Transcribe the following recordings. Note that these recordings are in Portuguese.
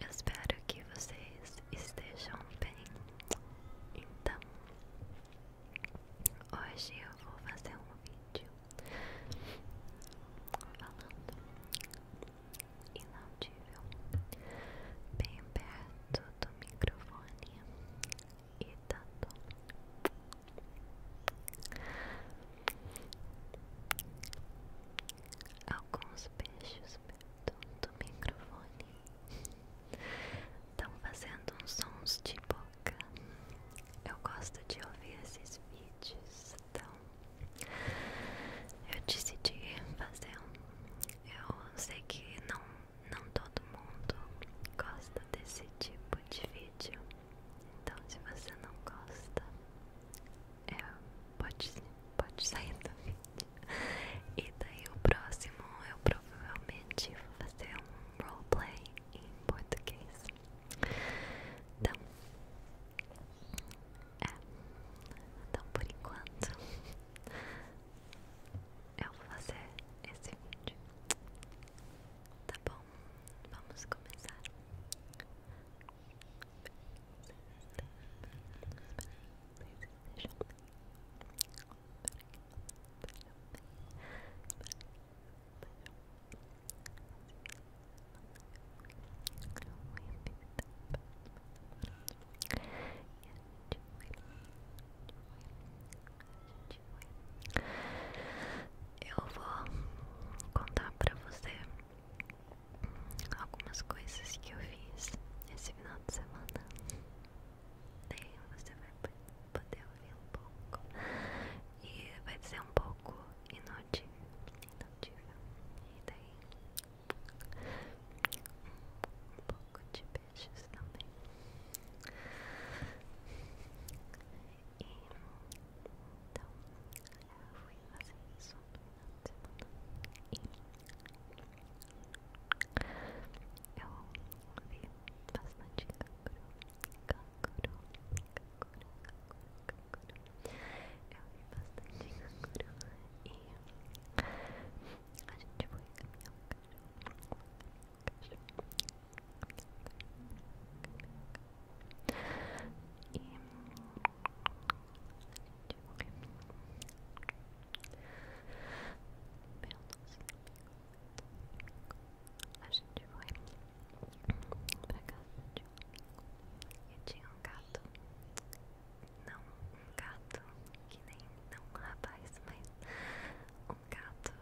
Eu espero que vocês estejam bem. Então, hoje eu vou fazer um vídeo falando inaudível bem perto do microfone e dando alguns beijos do microfone estão fazendo uns sons de boca. Eu gosto de ouvir esses vídeos, então eu decidi fazer um. Eu sei que não, não todo mundo gosta desse tipo de vídeo, então se você não gosta, é, pode, pode sair do vídeo. E daí o próximo eu provavelmente vou fazer um roleplay em português. Então, é, então por enquanto eu vou fazer esse vídeo. Tá bom, vamos começar. Eu vou contar para você algumas coisas que eu fiz esse final de semana. Daí você vai poder ouvir um pouco. E vai dizer um pouco inaudível. E daí um pouco de peixes também. E então eu vou fazer isso no final de semana e eu vi bastante kakuro, kakuro, kakuro, kakuro, kakuro. eu vi bastante kakuro e a gente foi caminhar um cachorro, um cachorro, um cachorro, um cachorro, um cachorro. E a gente foi pra casa de um amigo e tinha um gato, não um gato que nem, não um rapaz, mas um gato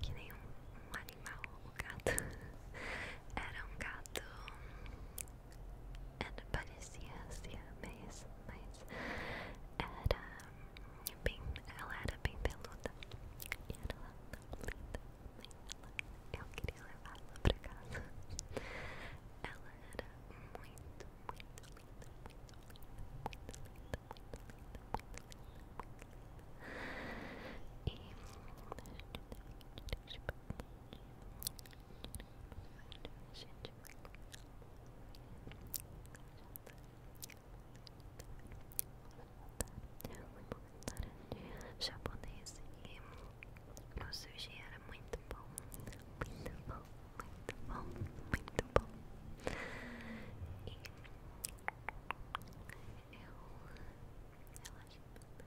que nem um, um animal, o gato era um gato ela parecia assim mas era bem, ela era bem peluda e era tão linda, mas ela, eu queria levá-la pra casa. Ela era muito, muito linda, muito linda, muito linda, muito linda, muito linda, muito linda. E japonês e o sushi era muito bom, muito bom, muito bom, muito bom. E eu relaxei bastante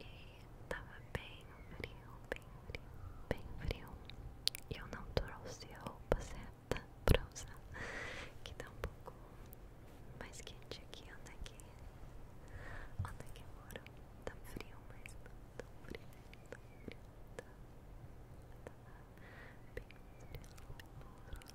e tava bem frio, bem frio, bem frio. E eu não trouxe a roupa certa pra usar, que tá um pouco mais quente aqui, onde aqui é que, onde é moro. Tá frio, mas não tá, tão tá frio, tão tá frio, tá, bem frio, bem frio.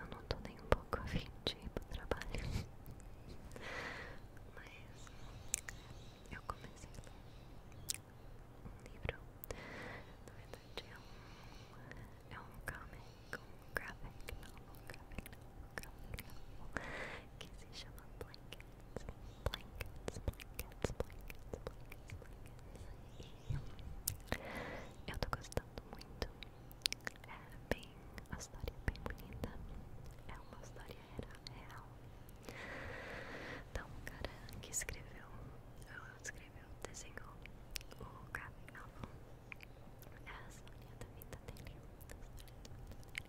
Eu não estou nem um pouco afim de ir pro trabalho. Mas eu comecei um livro. Na verdade é um, é um comic, graphic novel, graphic novel, graphic novel, que se chama Blankets, Blankets, Blankets, Blankets, Blankets, Blankets. Eu tô gostando muito. É bem. a história é bem bonita. É uma história real. Então, o cara que escreveu, escreveu, desenhou o graphic novel é a Sônia da vida dele. É a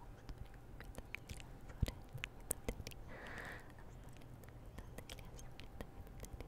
Sônia da vida dele. É a Sônia da vida dele. A vida dele.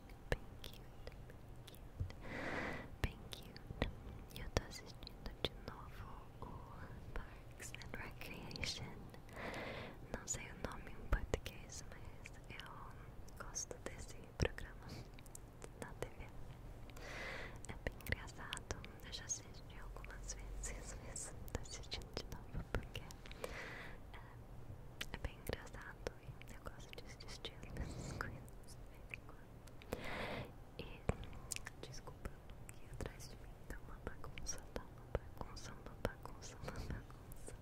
Just bem cute, bem cute, bem cute. E eu tô assistindo de novo o Parks and Recreation. Não sei o nome em português, mas eu gosto desse programa na TV. É bem engraçado. Eu já assisti algumas vezes, mas tô assistindo de novo porque é bem engraçado. Halloween. Eu gosto de estilo dessas E desculpa que atrás de mim está uma bagunça, uma bagunça, uma bagunça, uma bagunça.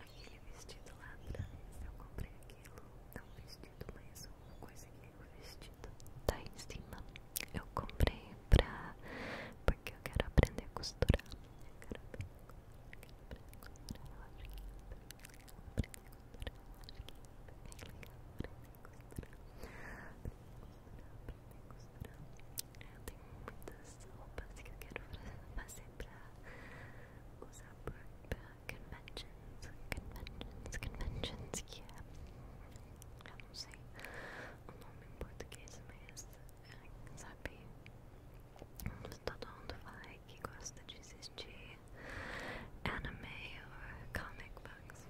Aquele vestido lá atrás, eu comprei aquilo, não vestido, mas uma coisa que é o vestido tá em cima. Eu comprei pra. porque eu quero aprender a costurar. Eu quero aprender a costurar. Eu tenho muitas roupas que eu quero fazer pra usar pra conventions, conventions, conventions que não sei o nome em português, mas Mas todo mundo fala que gosta de assistir anime ou comic books.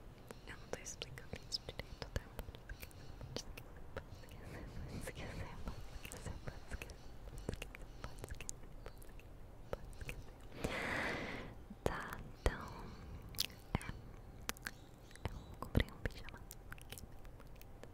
Eu não tô explicando isso direito, tá? Pode esquecer, pode esquecer, pode esquecer, pode esquecer, pode esquecer, pode esquecer, pode esquecer. Tá, então. É. Eu comprei um pijama.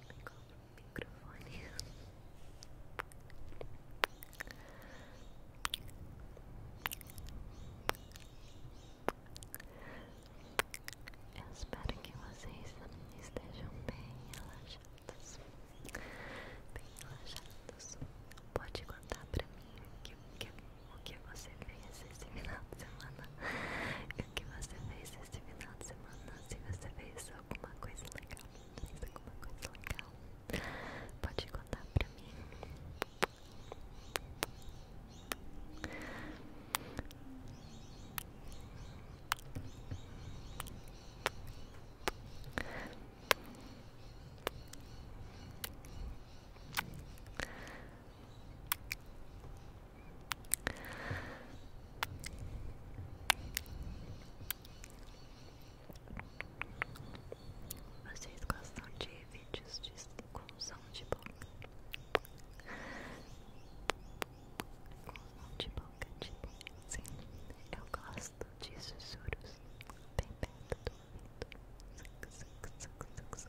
ligou o microfone. Eu espero que vocês estejam bem relaxados. Bem relaxados. Pode contar pra mim o que, você fez esse final de semana. E o que você fez fez esse final de semana, se você isso alguma coisa legal, alguma coisa legal, pode contar pra mim. Vocês gostam de vídeos de, com som de boca? Com som de boca, tipo, sim, eu gosto de sussurros bem perto do ouvido. Suc, suc, suc, suc,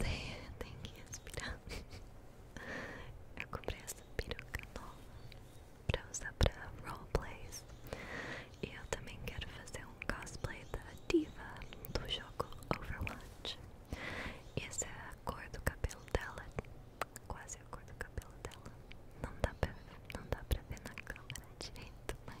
Tem, que respirar. Eu comprei essa peruca nova para usar para roleplays. E eu também quero fazer um cosplay da diva do jogo Overwatch. E essa é a cor do cabelo dela. Quase a cor do cabelo dela. Não dá para não dá pra ver na câmera direito, mas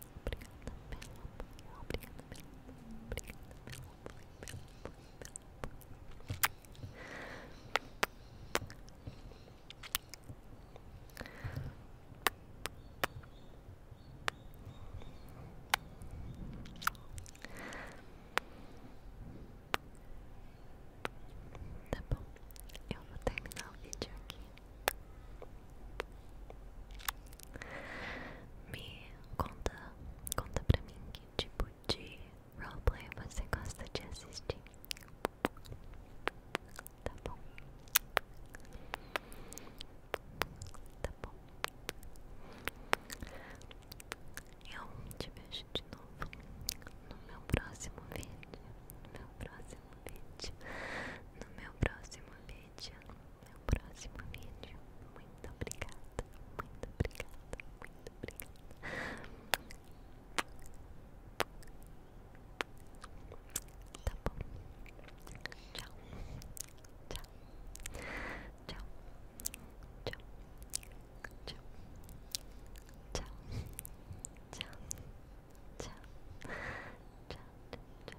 Obrigada pelo apoio. Obrigada pelo apoio. Tá bom, eu vou terminar o vídeo aqui. Me conta, conta pra mim que tipo de roleplay você gosta de assistir. Tá bom. Tá bom. Eu te vejo de novo no meu próximo vídeo. No meu próximo vídeo. No meu próximo vídeo meu próximo vídeo. Muito obrigada, muito obrigada, muito obrigada. Tá bom. Tchau. Tchau. Tchau. Tchau. Tchau. Tchau. Tchau. Tchau. Tchau. Tchau.